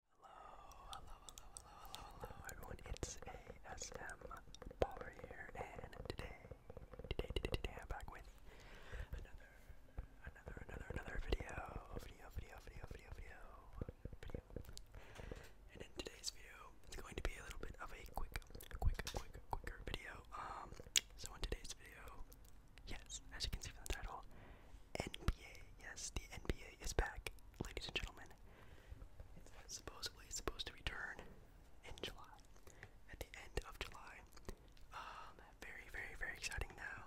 hello, hello, hello, hello, everyone. It's ASM Baller here, and today, today, today, today, I'm back with another, another, another, another video, video, video, video, video, video, video. And in today's video, it's going to be a little bit of a quick, quick, quick, quicker video. Um, so in today's video, yes, as you can see from the title, NBA. Yes, the NBA is back, ladies and gentlemen. It's supposedly supposed to return in July, at the end of July. Um, very, very, very exciting now.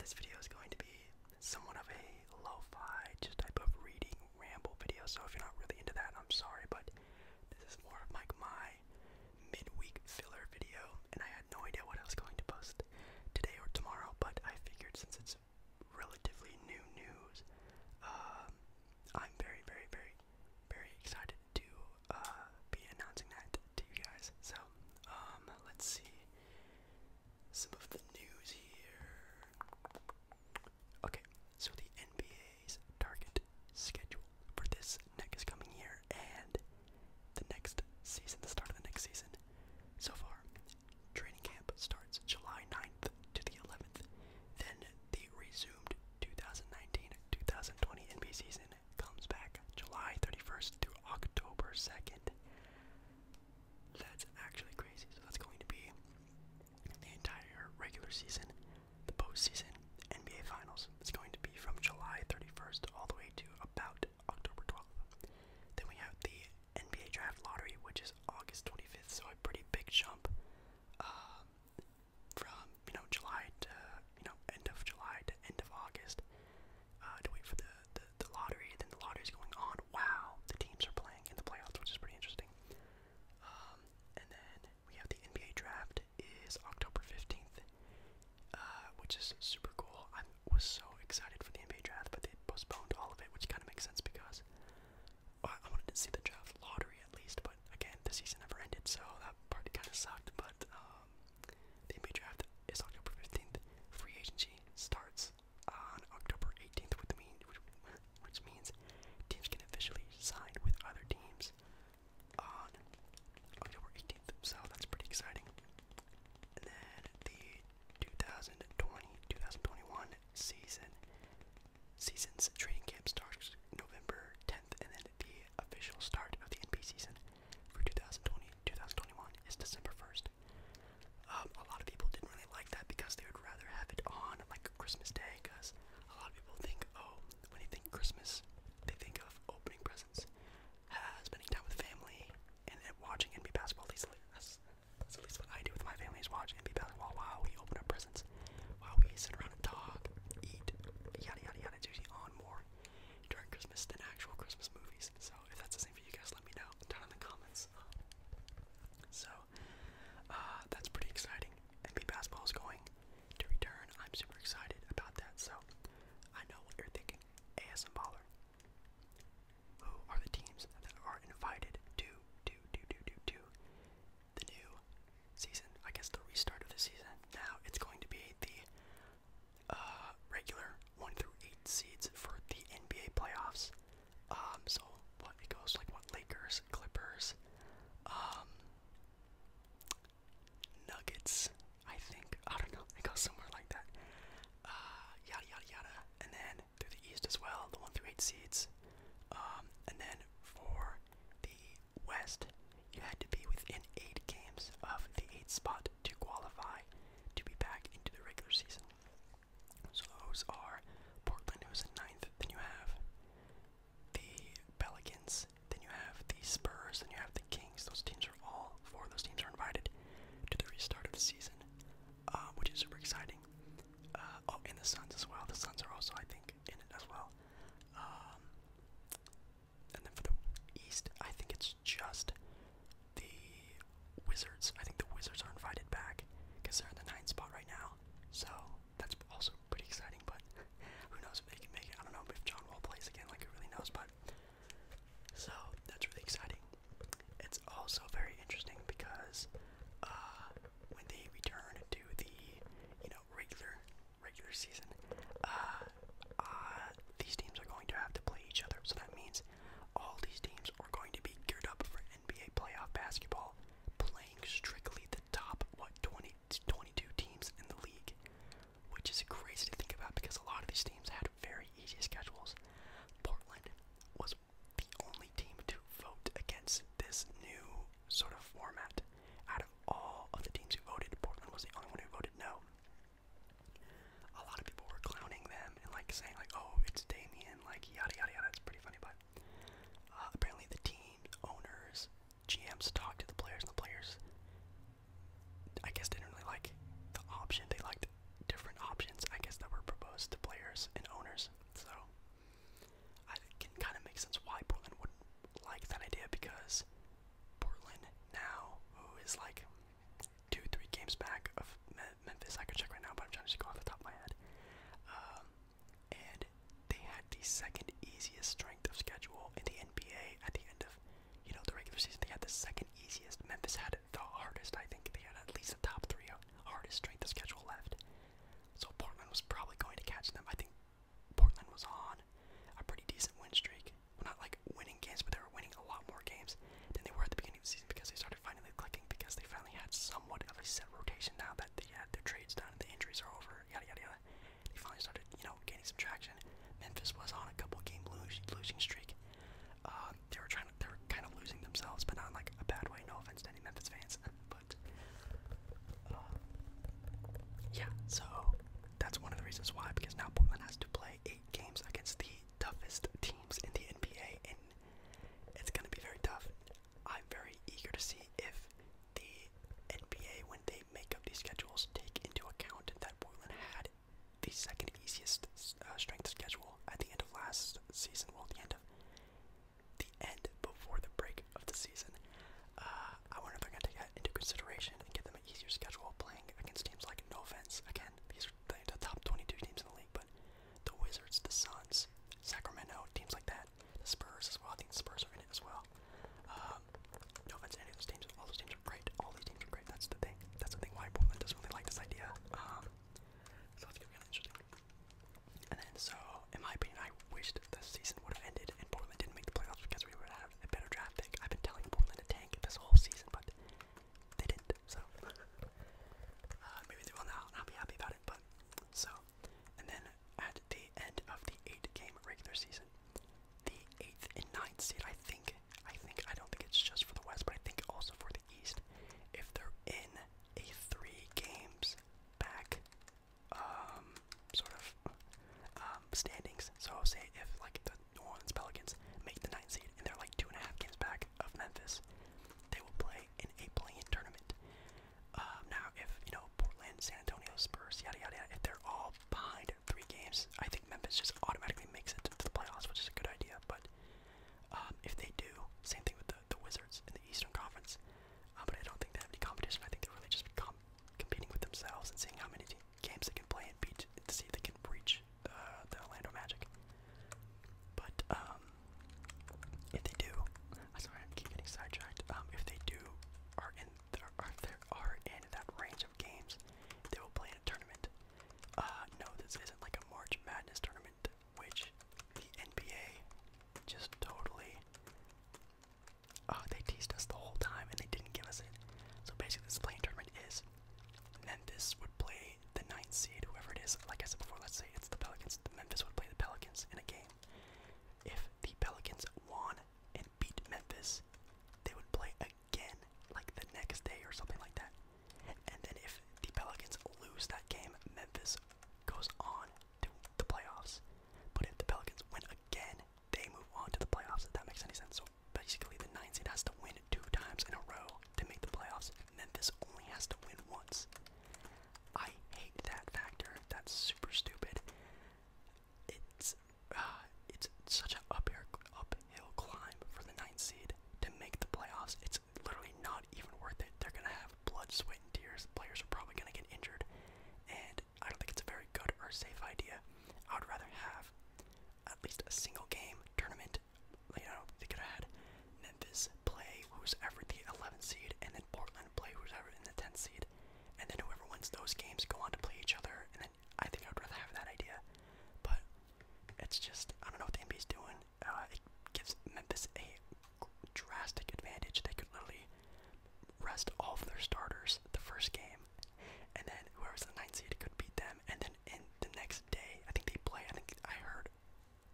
This video is going to be somewhat of a lo-fi, just type of reading ramble video. So if you're not really into that, I'm sorry, but this is more of like my midweek filler video, and I had no idea what I was going to post today or tomorrow. But I figured since it's relatively new news. Um, I'm very, very, very, very excited to uh, be announcing that to you guys. So, um, let's see some of the news here. Okay, so the NBA's target schedule for this next coming year and the next season, the start of the next season. So far, Training camp starts July 9th to the 11th. Then the resumed 2019-2020 NBA season comes back July 31st to October 2nd. That's actually crazy. So that's going to be the entire regular season, the postseason, NBA Finals. It's going to be from July 31st all the way to about October 12th. Then we have the NBA Draft Lottery, which is August 25th, so a pretty big jump um, from you know July to you know end of July to end of August uh, to wait for the, the the lottery. Then the lottery's going on. Wow, the teams are playing in the playoffs, which is pretty interesting. Um, and then we have the NBA Draft is October 15th, uh, which is super cool was so excited for the NBA draft, but they postponed all of it, which kind of makes sense because uh, I wanted to see the draft lottery at least. But again, the season never ended, so that part kind of sucked. But um, the NBA draft is October fifteenth. Free agency starts on October eighteenth, with mean which means teams can officially sign with other teams on October eighteenth. So that's pretty exciting. And then the 2020-2021 season. Season's training camp starts November 10th, and then the official start of the NBA season for 2020-2021 is December 1st. Um, a lot of people didn't really like that because they would rather have it on like Christmas Day, because a lot of people think, oh, when you think Christmas, they think of opening presents spending time with family and, watching NBA basketball. At least that's, at least what I do with my family is watch NBA basketball while we open up presents, while we sit around and talk, eat, yada yada yada. It's on more during Christmas than actual Christmas movies. So if that's the same for you guys, let me know down in the comments. So uh, that's pretty exciting. NBA basketball is going to return. I'm super excited about that. So I know what you're thinking. ASM baller. Who are the teams that are invited to to to to to the new season? I guess the restart of the season. Now it's going to be the uh, regular one through eight seeds for the NBA playoffs. Um, so what it goes like what Lakers, Clippers, um, Nuggets. I think I don't know. It goes somewhere like that. Uh, yada yada yada, and then through the East as well, the one through eight seeds, um, and then for the West, you had to be within eight games of the eight spot to qualify to be back into the regular season. So those are Portland, who's in ninth. Then you have the Pelicans. Then you have the Spurs. Then you have the Kings. Those teams are all four those teams are invited to the restart of the season, um, which is super exciting. Uh, oh, and the Suns as well. The Suns are also, I think, in it as well. Um, and then for the East, I think it's just the Wizards. I think the Wizards are invited back because they're in the ninth spot right now. So that's also pretty exciting. But who knows if they can make it? I don't know if John Wall plays again. Like who really knows? But so that's really exciting. It's also very interesting because uh, when they return to the you know regular regular season, uh, uh, these teams are going to have to play each other. So that means all these teams are going to be geared up for NBA playoff basketball, playing strictly the top what 20 22 teams in the league, which is crazy to think about because a lot of these teams had had very easy schedules. Portland was the only team to vote against this new sort of format. Out of all of the teams who voted, Portland was the only one who voted no. A lot of people were clowning them and like saying like, "Oh, it's Damien," like yada yada yada. It's pretty funny, but uh, apparently the team owners, GMs talked to the players, and the players I guess didn't really like the option. They liked different options, I guess, that were proposed to players and owners. So I can kind of make sense why Portland wouldn't like that idea because Portland now, who is like two, three games back of Memphis, I could check right now, but I'm trying to just go off the top of my head. Um, and they had the second easiest strength of schedule in the NBA at the end of, you know, the regular season. They had the second easiest. Memphis had the hardest. I think they had at least the top three hardest strength of schedule left. So Portland was probably going to catch them. I think Portland was on a pretty decent win streak. not like winning games, but they were winning a lot more games than they were at the beginning of the season because they started finally clicking because they finally had somewhat of a set rotation now that they had their trades done and the injuries are over, yada yada yada. They finally started, you know, gaining some traction. Memphis was on a couple game losing losing streak. Uh, they were trying to, they were kind of losing themselves, but not in like a bad way. No offense to any Memphis fans, but uh, yeah. So that's one of the reasons why, because now Portland has to play eight games against the toughest teams in the NBA, and it's gonna be very tough. I'm very eager to see if the NBA, when they make up these schedules, take into account that Portland had the second easiest uh, strength schedule at the end of last season. Well, the end of the end before the break of the season. Uh, I wonder if they're going to take that into consideration and give them an easier schedule playing against teams like. No offense, again, these are the top 22 teams in the league, but the Wizards, the Suns, Sacramento, teams like that, the Spurs as well. I think the Spurs are in it as well. Um, no offense to any of those teams. All those teams great. All these teams are great. That's the thing. That's the thing why Portland doesn't really like this idea. Um, so that's gonna be interesting. And then, so in my opinion, I wished the season would have ended and Portland didn't make the playoffs because we would have a better draft pick. I've been telling Portland to tank this whole season, but they didn't. So uh, maybe they will now, and I'll be happy about it. But so, and then at the end of the eight-game regular season, the eighth and ninth seed, I think, I think I don't think it's just for the West, but I think also for the East. If they're in a three games back um sort of um standings. So say if like the New Orleans Pelicans make the ninth seed and they're like two and a half games back of Memphis, they will play in a play-in tournament. Um, now if you know Portland, San Antonio, Spurs, yada yada, if they're all behind three games, I think Memphis just automatically makes it to the playoffs, which is a good idea. But um, if they do, same thing with the, the Wizards in the Eastern Conference. Uh, but I don't think they have any competition. I think they really just become competing with themselves and seeing how many games they can play and beat to see if they can reach uh, the Orlando Magic. But um, if they do, I'm sorry, I keep getting sidetracked. Um, if they do are in, are, are, are in that range of games, they will play in a tournament uh, no, this isn't like a March Madness tournament, which the NBA just totally. Uh, they teased us the whole time and they didn't give us it. So basically, this playing tournament is Memphis would play the ninth seed, whoever it is. Like I said before, let's say it's the Pelicans. Memphis would play the Pelicans in a game. If the Pelicans won and beat Memphis, they would play again, like the next day or something like that. And then if the Pelicans lose that game, Memphis goes on to the playoffs. But if the Pelicans win again, they move on to the playoffs, if that makes any sense. So basically, the 9 has to win two times in a row to make the playoffs. and Memphis only has to win once. I hate that factor. That's super stupid. It's uh, it's such an up uphill climb for the ninth seed to make the playoffs. It's literally not even worth it. They're gonna have blood, sweat, and tears. Players are probably gonna get injured, and I don't think it's a very good or safe idea. I would rather have at least a single game tournament. You know, they could have had Memphis play who's ever the 11th seed, and then Portland play who's in the 10th seed, and then whoever wins those games go on to play each other, and I, think I would rather have that idea, but it's just I don't know what the NBA's doing. Uh, it gives Memphis a drastic advantage. They could literally rest all of their starters the first game, and then whoever's the ninth seed could beat them. And then in the next day, I think they play. I think I heard,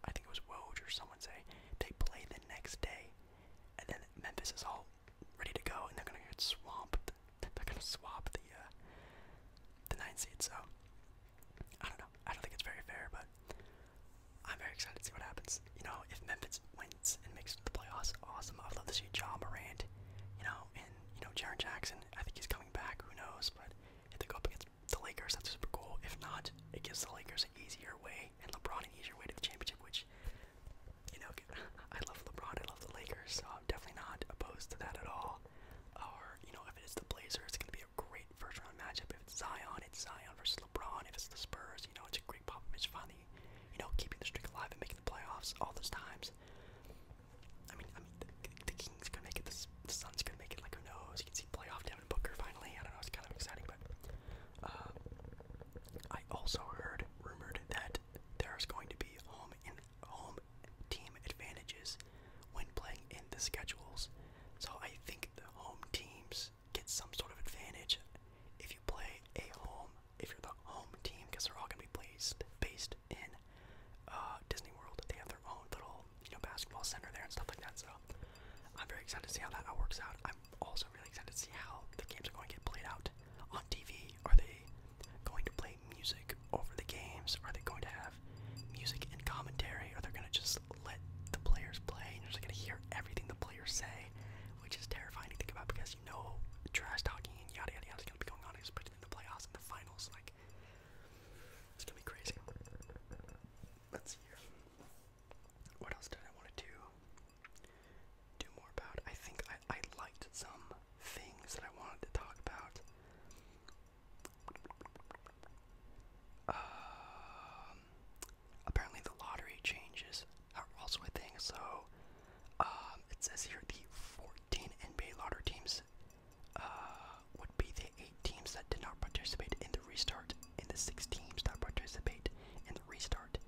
I think it was Woj or someone say they play the next day, and then Memphis is all ready to go, and they're gonna get swamped they're gonna swap the uh, the nine seed. So I don't know. I don't think it's very fair, but I'm very excited to see what happens. You know, if Memphis wins and makes the playoffs, awesome. I'd love to see Ja Morant. You know, and you know Jaren Jackson. I think he's coming back. Who knows? But if they go up against the Lakers, that's super cool. If not, it gives the Lakers an easier way and LeBron an easier way to the championship, which you know, I love LeBron, I love the Lakers, so I'm definitely not opposed to that at all. Or, you know, if it is the Blazers, it's going to be a great first round matchup. If it's Zion, it's Zion versus LeBron. If it's the Spurs, you know, it's a great Popovich finally, you know, keeping the streak alive and making the playoffs all those times. I mean, I mean, the, the Kings could make it, the, the Suns could make it, like, who knows? You can see playoff Devin Booker finally. I don't know, it's kind of exciting, but. Uh, I also heard rumored that there's going to be home in home home team advantages when playing in the schedules. So I think the home teams get some sort of advantage if you play a home, if you're the home team, because they're all going to be placed based in uh, Disney World. They have their own little, you know, basketball center there and stuff like that. So I'm very excited to see how that all works out. I'm also really excited to see how the games are going to get played out on TV. Are they going to play music over the games? Are they going to have music and commentary? Are they going to just let the players play and you're just going to hear everything the players say? Which is terrifying to think about because you know trash talking and yada yada yada is going to be going on, especially in the playoffs and the finals. Like, it's going to be crazy. Let's see here. What else did I want to do? Do more about? I think I, I liked some things that I wanted to talk about. Um, apparently, the lottery changes are also a thing. So, um, it says here the 14 NBA lottery teams uh, would be the eight teams that did not participate in the restart, and the six teams that participate in the restart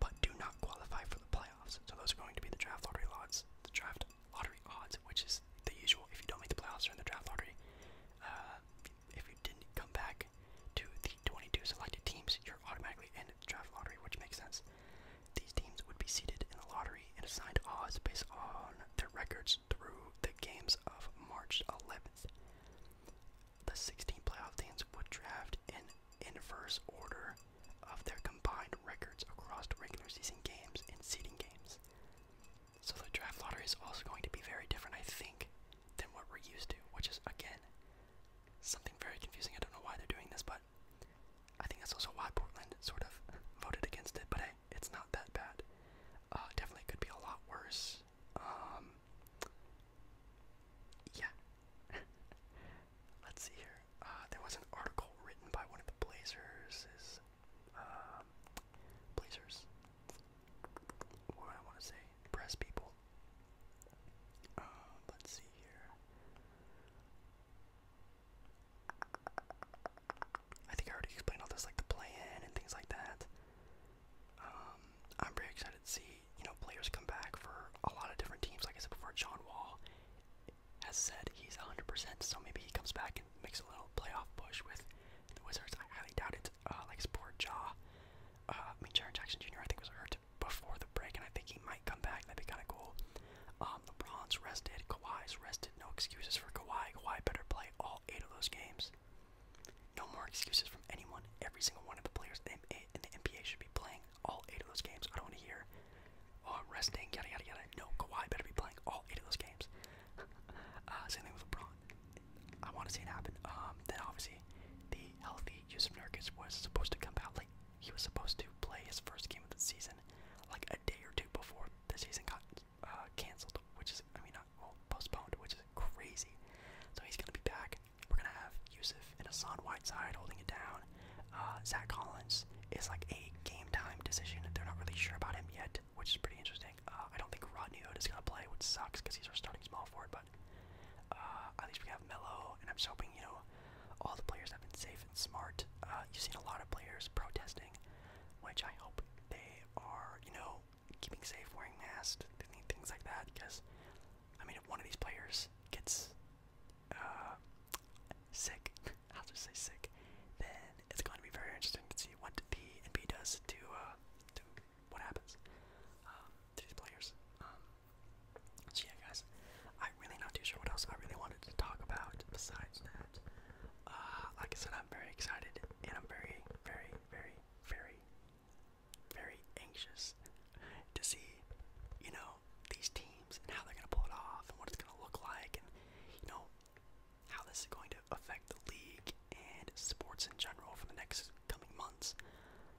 but do not qualify for the playoffs. So, those are going to be the draft lottery lots, the draft lottery odds, which is the usual. If you don't make the playoffs during the draft lottery, uh, if you didn't come back to the 22 selected teams, you're automatically in the draft lottery, which makes sense. These teams would be seated in the lottery and assigned odds based on their records through the games of March 11th. The 16 playoff teams would draft in inverse order of their combined records across regular season games and seeding games. So the draft lottery is also going to be very different, I think, than what we're used to, which is, again, something very confusing. I don't know why they're doing this, but I think that's also why Portland sort of voted against it, but it's not that bad. Uh, definitely could be a lot worse. Um, yeah. Let's see here. Uh, there was an article written by one of the Blazers. Is uh, Blazers? What do I want to say? Press people. Uh, let's see here. I think I already explained all this, like the play-in and things like that. Um, I'm very excited to see you know players come back for a lot of different teams. Like I said before, John Wall has said he's 100%, so maybe he comes back and makes a little playoff push with the Wizards. I highly doubt it. Uh, like his poor jaw. Uh, I mean, Jaron Jackson Jr. I think was hurt before the break, and I think he might come back. That'd be kind of cool. Um, LeBron's rested. Kawhi's rested. No excuses for Kawhi. Kawhi better play all eight of those games. No more excuses from anyone. Every single one of the players in the NBA should be playing all eight of those games. I don't want to hear oh, I'm resting, yada yada yada. No, Kawhi better be playing all eight of those games. uh, same thing with LeBron. I want to see it happen. Um, then obviously, the healthy Yusuf Nurkic was supposed to come out like he was supposed to play his first game of the season, like a day or two before the season got uh, canceled, which is I mean not postponed, which is crazy. So he's gonna be back. We're gonna have Yusuf and Hassan Whiteside holding it down. Uh, Zach Collins is like a game time decision. They're not really sure about him yet, which is pretty interesting. Uh, I don't think Rodney Hood is going to play, which sucks because he's our starting small forward, but uh, at least we have Mello, and I'm hoping, you know, all the players have been safe and smart. you've seen a lot of players protesting, which I hope they are, you know, keeping safe, wearing masks, things like that, because, I mean, if one of these players gets uh, sick, I'll just say sick, then it's going to be very interesting to see what B and B does to, uh, to what happens um, to these players. Um, so yeah, guys, I'm really not too sure what else I really wanted to talk about besides that. Uh, like I said, I'm very excited, and I'm very, very, very, very, very anxious to see, you know, these teams and how they're going to pull it off and what it's going to look like and, you know, how this is going to affect the league and sports in general for the next coming months.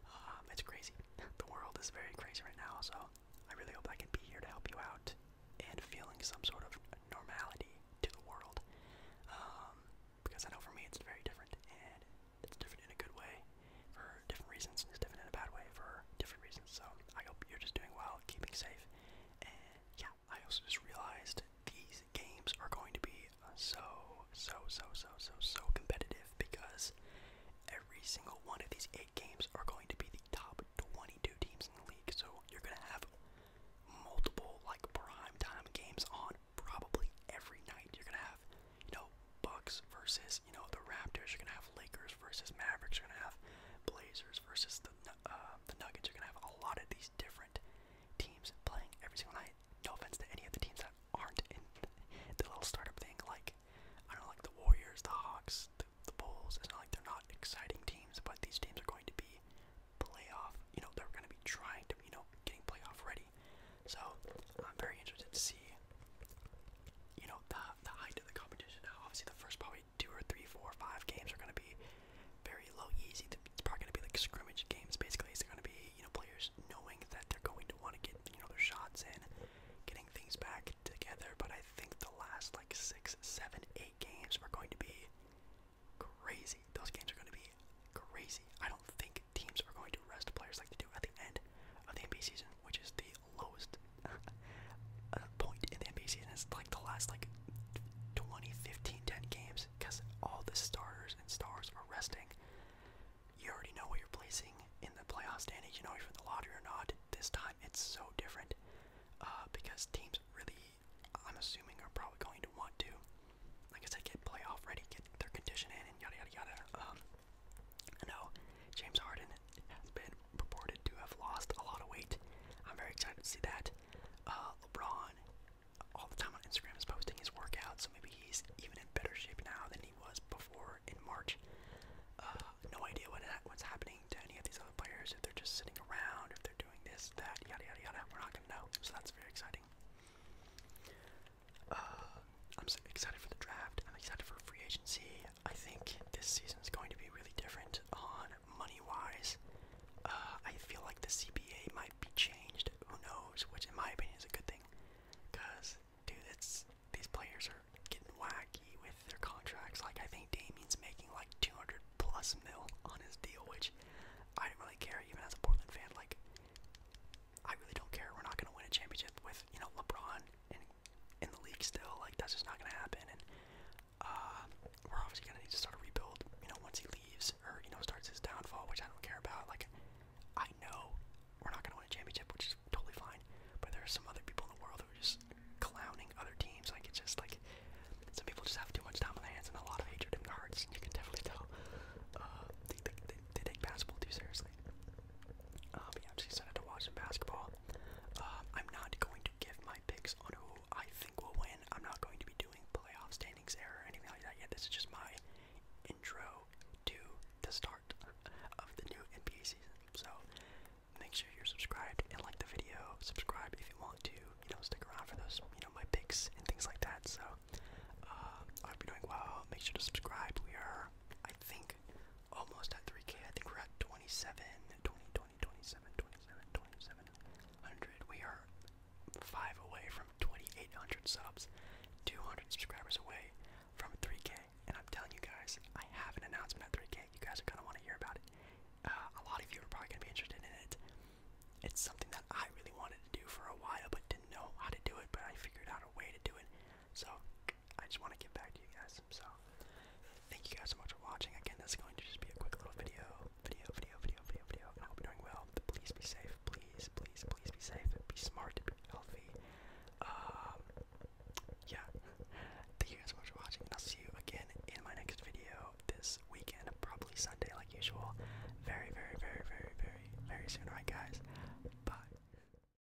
Um, it's crazy. The world is very crazy right now, so I really hope I can be here to help you out and feeling some sort of normality to the world. Um, because I know for me it's very different and it's different in a good way for different reasons. and It's different in a bad way for different reasons. So I hope you're just doing well, keeping safe. And yeah, I also just realized these games are going to be so, so, so, so, so, so competitive because every single one of these eight games are going to be the top 22 teams in the league. So you're going to have multiple like prime time games on probably every night. You're gonna have, you know, Bucks versus, you know, the Raptors. You're gonna have have Lakers versus Mavericks. You're gonna have Blazers versus the uh, the Nuggets. You're gonna have a lot of these different teams playing every single night. No offense to any of the teams that aren't in the little startup thing. Like I don't know, like the Warriors, the Hawks, the, the Bulls. It's not like they're not exciting teams, but these teams are going to be playoff. You know, they're gonna be trying to, you know, getting playoff ready. So I'm very interested to see you know, the the height of the competition now. Obviously, the first probably two or three, four, or five games are going to be very low, easy. It's probably going to be like scrimmage games. Basically, it's going to be you know players knowing that they're going to want to get you know their shots in, getting things back together. But I think the last like six, seven, eight games are going to be crazy. Those games are going to be crazy. I don't think teams are going to rest players like they do at the end of the NBA season, which is the lowest uh, point in the NBA season. It's like the last like 20, 10 games because all the starters and stars are resting. You already know what you're placing in the playoffs, Danny. You know if you're in the lottery or not. This time it's so different uh, because teams really, I'm assuming, are probably going to want to, like I said, get playoff ready, get their condition in, and yada yada yada. Um, now, James Harden has been purported to have lost a lot of weight. I'm very excited to see that. Uh, LeBron, all the time on Instagram, is posting his workout, so maybe he's even in better shape now than he was before in March. Uh, no idea what what's happening to any of these other players, if they're just sitting around, if they're doing this, that, yada, yada, yada. We're not going to know, so that's very exciting. Uh, I'm excited for the draft. I'm excited for free agency. I think this season is going to be really different on money wise. Uh, I feel like the CBA might be changed. Who knows? Which, in my opinion, is a good thing. Cause, dude, it's these players are getting wacky with their contracts. Like, I think Damien's making like 200 plus mil on his deal, which I don't really care. Even as a Portland fan, like, I really don't care. We're not gonna win a championship with you know LeBron and in the league still. Like that's just not gonna happen. And uh, we're obviously gonna need to start a rebuild. You know, once he leaves or you know starts his downfall, which I don't care about. Like I know we're not gonna win a championship, which is totally fine. But there are some other people in the world who are just clowning other teams. Like it's just like some people just have too much time on their hands and a lot of hatred in their hearts. And you can definitely tell. Uh, they, they, they, they take basketball too seriously. Um, yeah, I'm just excited to watch some basketball. Um, I'm not going to give my picks on who I think will win. I'm not going to be doing playoff standings error or anything like that yet. This is just my intro to the start of the new NBA season. So make sure you're subscribed and like the video. Subscribe if you want to, you know, stick around for those, you know, my picks and things like that. So uh, I hope you're doing well. Make sure to subscribe. We are, I think, almost at 3K. I think we're at 27, 20, 20, 27, 27, 2700. We are five away from 2,800 subs, 200 subscribers away from 3K. And I'm telling you guys, I have an announcement at 3K. You guys are gonna want to hear about it. Uh, a lot of you are probably gonna be interested in it. It's something that I really wanted to do for a while, but didn't know how to do it. But I figured out a way to do it. So I just want to get back to you guys awesome. So thank you guys so much for watching. Again, this is going to just be a quick little video, video, video, video, video, video. And I hope you're doing well. Please be safe. Please, please, please be safe. Be smart. Be healthy. Um, yeah. Thank you guys so much for watching, and I'll see you again in my next video this weekend, probably Sunday like usual. Very, very, very, very, very, very soon. Alright, guys. Bye.